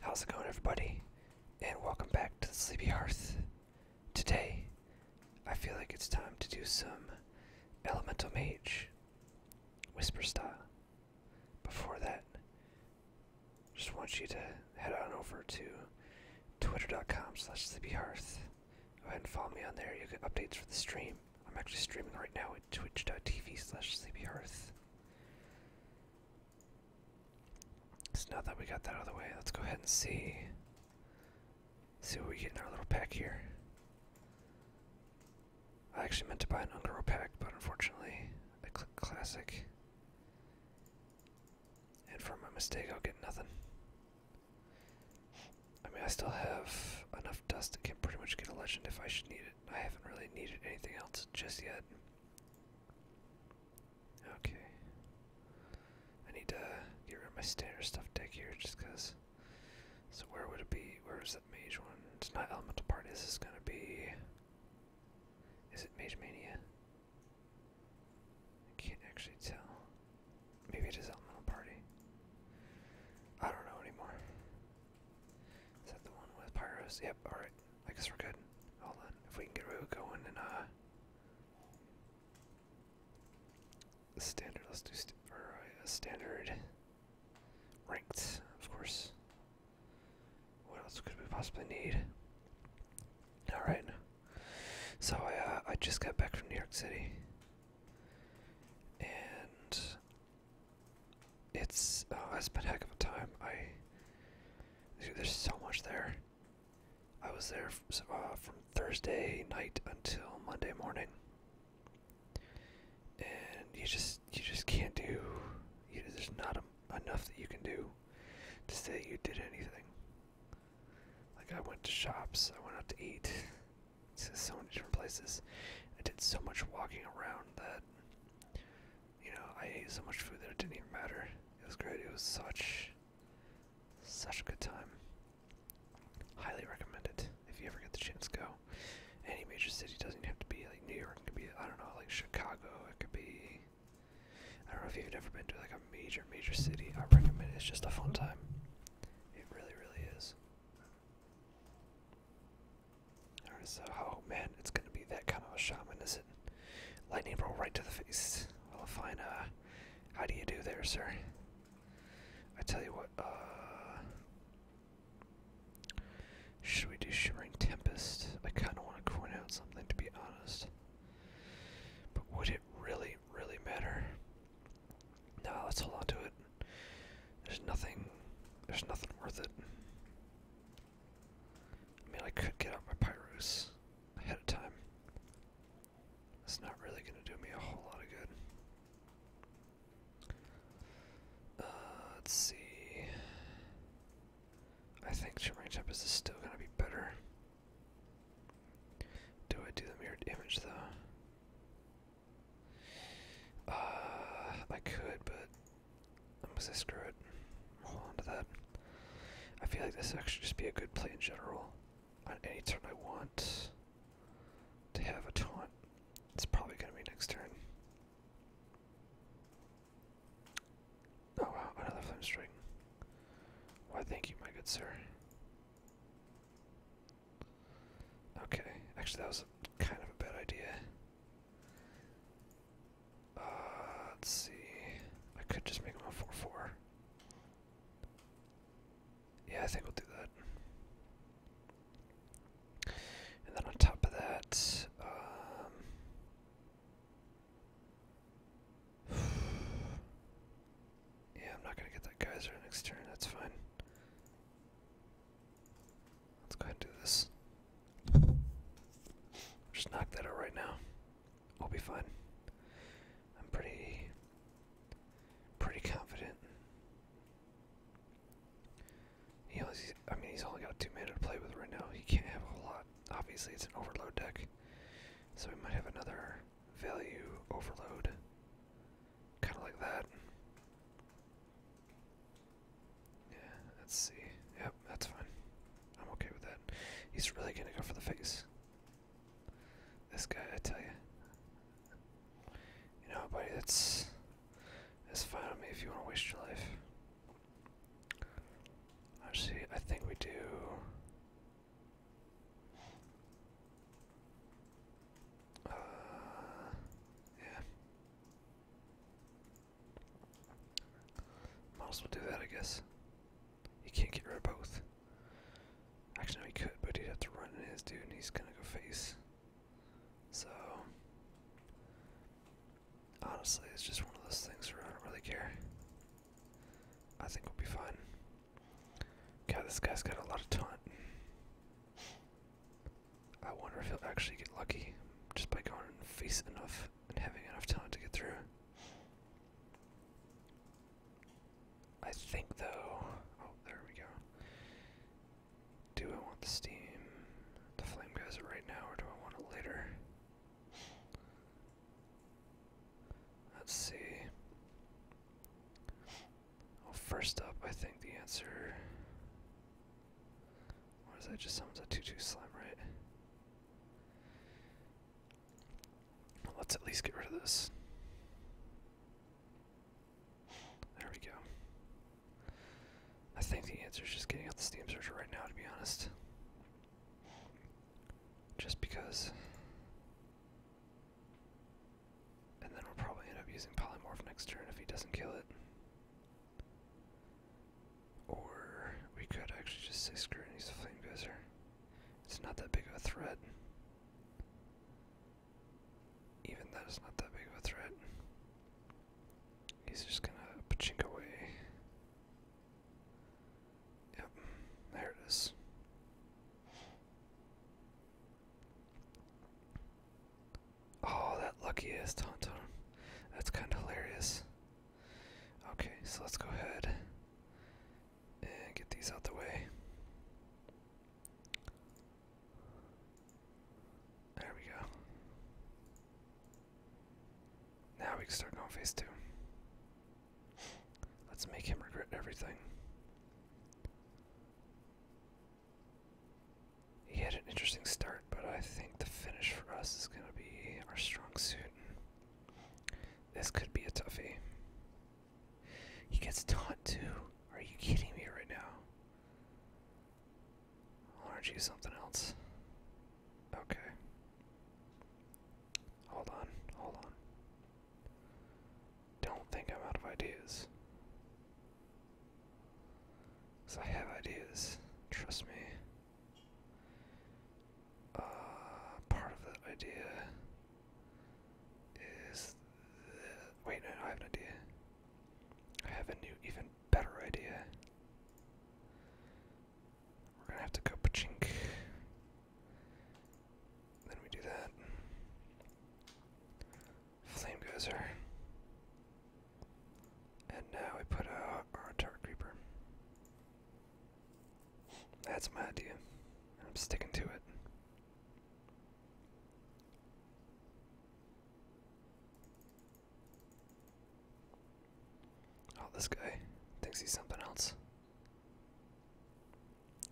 How's it going, everybody? And welcome back to the Sleepy Hearth. Today, I feel like it's time to do some Elemental Mage, Whisper style. Before that, just want you to head on over to twitter.com slash sleepyhearth. Go ahead and follow me on there. You'll get updates for the stream. I'm actually streaming right now at twitch.tv slash sleepyhearth. So now that we got that out of the way, let's go ahead and see see what we get in our little pack here. I actually meant to buy an Ungaro pack, but unfortunately I clicked classic. And for my mistake I'll get nothing. I mean I still have enough dust to pretty much get a legend if I should need it. I haven't really needed anything else just yet. Okay. I need to get rid of my standard stuff deck here just because. So, where would it be? Where is that mage one? It's not Elemental Party. Is This going to be. Is it Mage Mania? I can't actually tell. Maybe it is Elemental Party. I don't know anymore. Is that the one with pyros? Yep, alright. I guess we're good. Hold on. If we can get Rue going and uh standard, let's do st uh, standard ranked, of course. What else could we possibly need? Alright. So I uh, I just got back from New York City. And it's uh, it a heck of a time. I there's so much there. I was there uh, from Thursday night until Monday morning, and you just you just can't do. there's not enough that you can do to say you did anything. Like I went to shops, I went out to eat, to so many different places. I did so much walking around that you know, I ate so much food that it didn't even matter. It was great. It was such, such a good time. Highly recommend it if you ever get the chance. Go. Any major city doesn't have to be like New York. It could be I don't know, like Chicago. It could be. I don't know if you've ever been to like a major, major city. I recommend it. It's just a fun time. It really, really is. Or is oh man, it's gonna be that kind of a shaman, is it? Lightning roll right to the face. Well, fine, uh, how do you do there, sir? I tell you what, uh, should we do Shimmering Tempest? I kinda wanna coin out something, to be honest. But would it really, really matter? No, let's hold on to it. There's nothing, there's nothing worth it. I mean, I could get out my pyrus ahead of time. It's not really going to do me a whole lot of good. Uh, let's see. I think Shimmering Tempest is still going to be better. Do I do the mirrored damage though? Uh, I could, but I'm gonna screw it. Hold on to that. I feel like this actually just be a good play in general. On any turn I want to have a taunt. It's probably gonna be next turn. Oh wow, another flame string. Why thank you, my good sir. Okay, actually that was kind of a bad idea. Uh, let's see. I could just make him a 4 4. Yeah, I think we'll do that. And then on top of that, um, Yeah, I'm not gonna get that geyser next turn, that's fine. Let's go and do this. Just knock that out right now. We'll be fine. I'm pretty, pretty confident. He only, I mean, he's only got two mana to play with right now. He can't have a whole lot. Obviously, it's an overload deck, so we might have another value overload, kind of like that. Yeah, let's see. Yep, that's fine. I'm okay with that. He's really gonna go for the face. This guy, I tell you. You know, buddy, that's that's fine with me if you want to waste your life. I see. I think we do. Uh, yeah. Might as well do that, I guess. He can't get rid of both. Actually, no, he could, but he'd have to run in his dude, and he's gonna go face. So, honestly, it's just one of those things where I don't really care. I think we'll be fine. God, this guy's got a lot of taunt. I wonder if he'll actually get lucky just by going face enough and having enough time to get through. I think though. Oh, there we go. Do I want the steam, the flame geyser right now, or do I want it later? Let's see. Well, first up, I think the answer or that just someone's a 2 2 slime, right? Let's at least get rid of this. There we go. I think the answer is just getting out the Steam surge right now, to be honest. Just because. And then we'll probably end up using Polymorph next turn if he doesn't kill it. Or we could actually just say screw and use the flame geyser. It's not that big of a threat. Even that is not that big of a threat. He's just gonna pachink away. Yep, there it is. Oh, that lucky luckiest hunter. That's kind of hilarious. Okay, so let's go ahead and get these out the way. There we go. Now we can start going phase two. Let's make him regret everything he had an interesting start, but I think the finish for us is going to be our strong suit. This could be a toughie. He gets taunt too. Are you kidding me right now? Aren't you something else? Okay. Hold on, hold on. Don't think I'm out of ideas. I have ideas. Trust me. Uh, part of the idea is. wait, no, I have an idea. I have a new, even better idea. We're gonna have to go pachink. Then we do that. Flame gozer. And now we put out our turret creeper. That's my idea. I'm sticking to it. Oh, this guy thinks he's something else.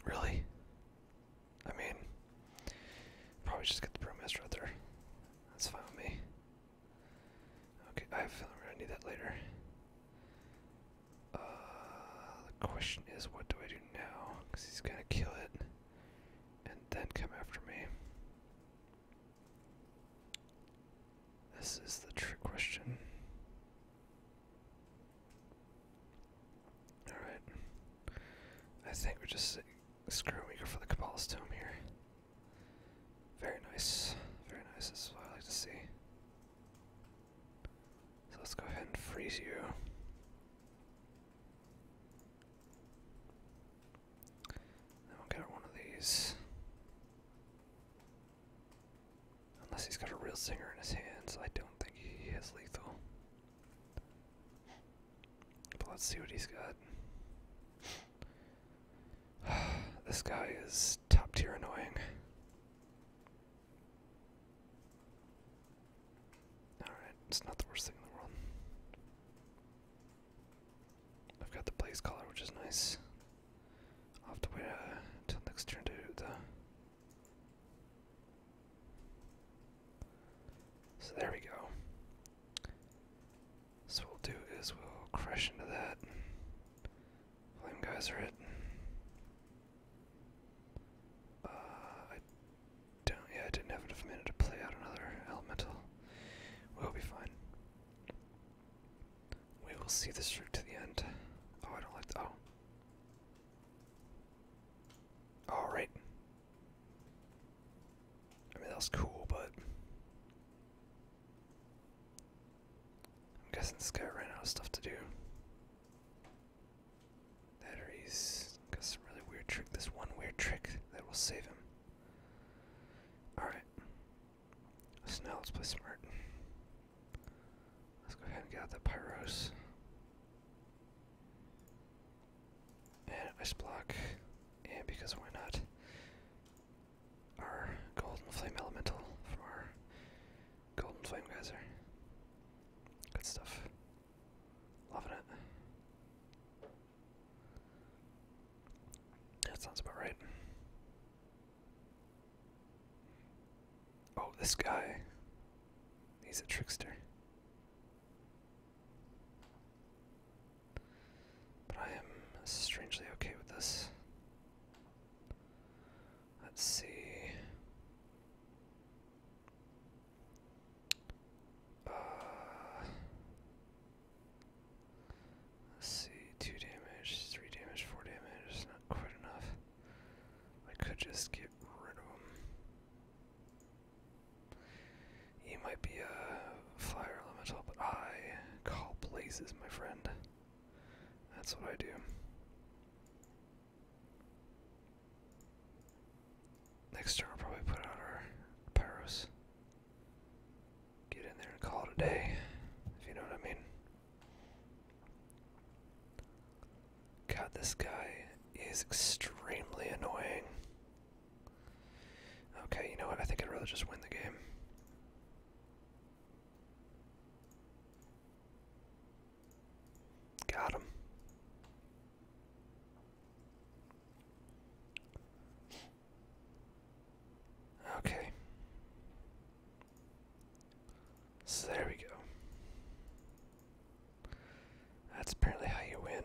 Really? I mean, probably just get the brewmaster out there. That's fine with me. Okay, I have a feeling need that later. Uh, the question is, what do I do now? Because he's gonna kill it and then come after me. This is the trick question. Alright. I think we're just screwing for the Kabbalah's Tomb here. Very nice. Very nice. This is what I like to see. So let's go ahead and freeze you. Then we'll get one of these. Unless he's got a real singer in his hands, I don't think he is lethal. But let's see what he's got. this guy is top tier annoying. Alright, it's not the worst thing in the world. I've got the blaze collar, which is nice. i to wait uh, next turn to the. So there we go. So we'll do is we'll crash into that. Flame guys it. Uh, I don't. Yeah, I didn't have enough minute to play out another elemental. We'll be fine. We will see this through to the end. Oh, I don't like. Th oh. All right. I mean that was cool, but I'm guessing this guy ran out of stuff to do. That got some really weird trick. This one weird trick that will save him. Alright. So now let's play smart. Let's go ahead and get out the Pyros. And ice block. And because why not? our golden flame elemental from our golden flame geyser. Good stuff. Loving it. That sounds about right. Oh, this guy. He's a trickster. But I am strangely okay with this. Let's see. Uh, let's see, two damage, three damage, four damage, not quite enough. I could just get rid of him. He might be a uh, fire elemental, but I call blazes, my friend. That's what I do. Next turn, I'll probably put out our pyros. Get in there and call it a day, if you know what I mean. God, this guy is extremely annoying. Okay, you know what? I think I'd rather just win the game. Got him. Okay. So there we go. That's apparently how you win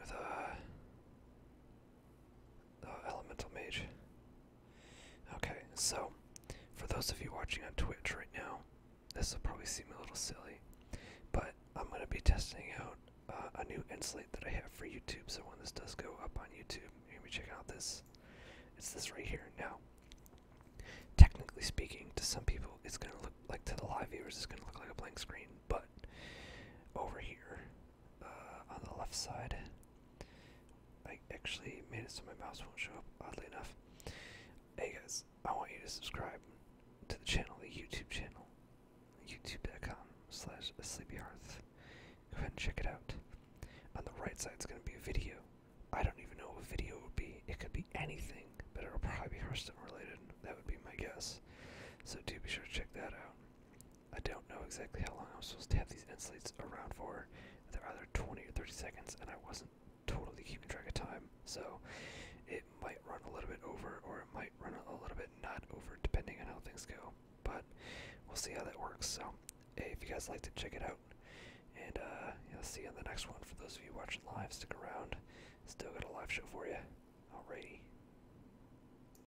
with a uh, Oh, elemental mage. Okay, so for those of you watching on Twitch right now, this will probably seem a little silly, but I'm going to be testing out uh, a new insulate that I have for YouTube. So when this does go up on YouTube, you're be checking out this. It's this right here. Now, technically speaking, to some people, it's going to look like to the live viewers, it's going to look like a blank screen, but over here, uh, on the left side. I actually made it so my mouse won't show up, oddly enough. Hey guys, I want you to subscribe to the channel, the YouTube channel, youtube.com slash sleepyhearth. Go ahead and check it out. On the right side is going to be a video. I don't even know what video it would be. It could be anything, but it'll probably be Hearthstone related. That would be my guess. So do be sure to check that out. I don't know exactly how long I'm supposed to have these insulates around for. They're either 20 or 30 seconds, and I wasn't totally keeping track of time. So it might run a little bit over, or it might run a little bit not over, depending on how things go. But we'll see how that works. So if you guys like to check it out, and uh, will see you on the next one. For those of you watching live, stick around. Still got a live show for you. Alrighty.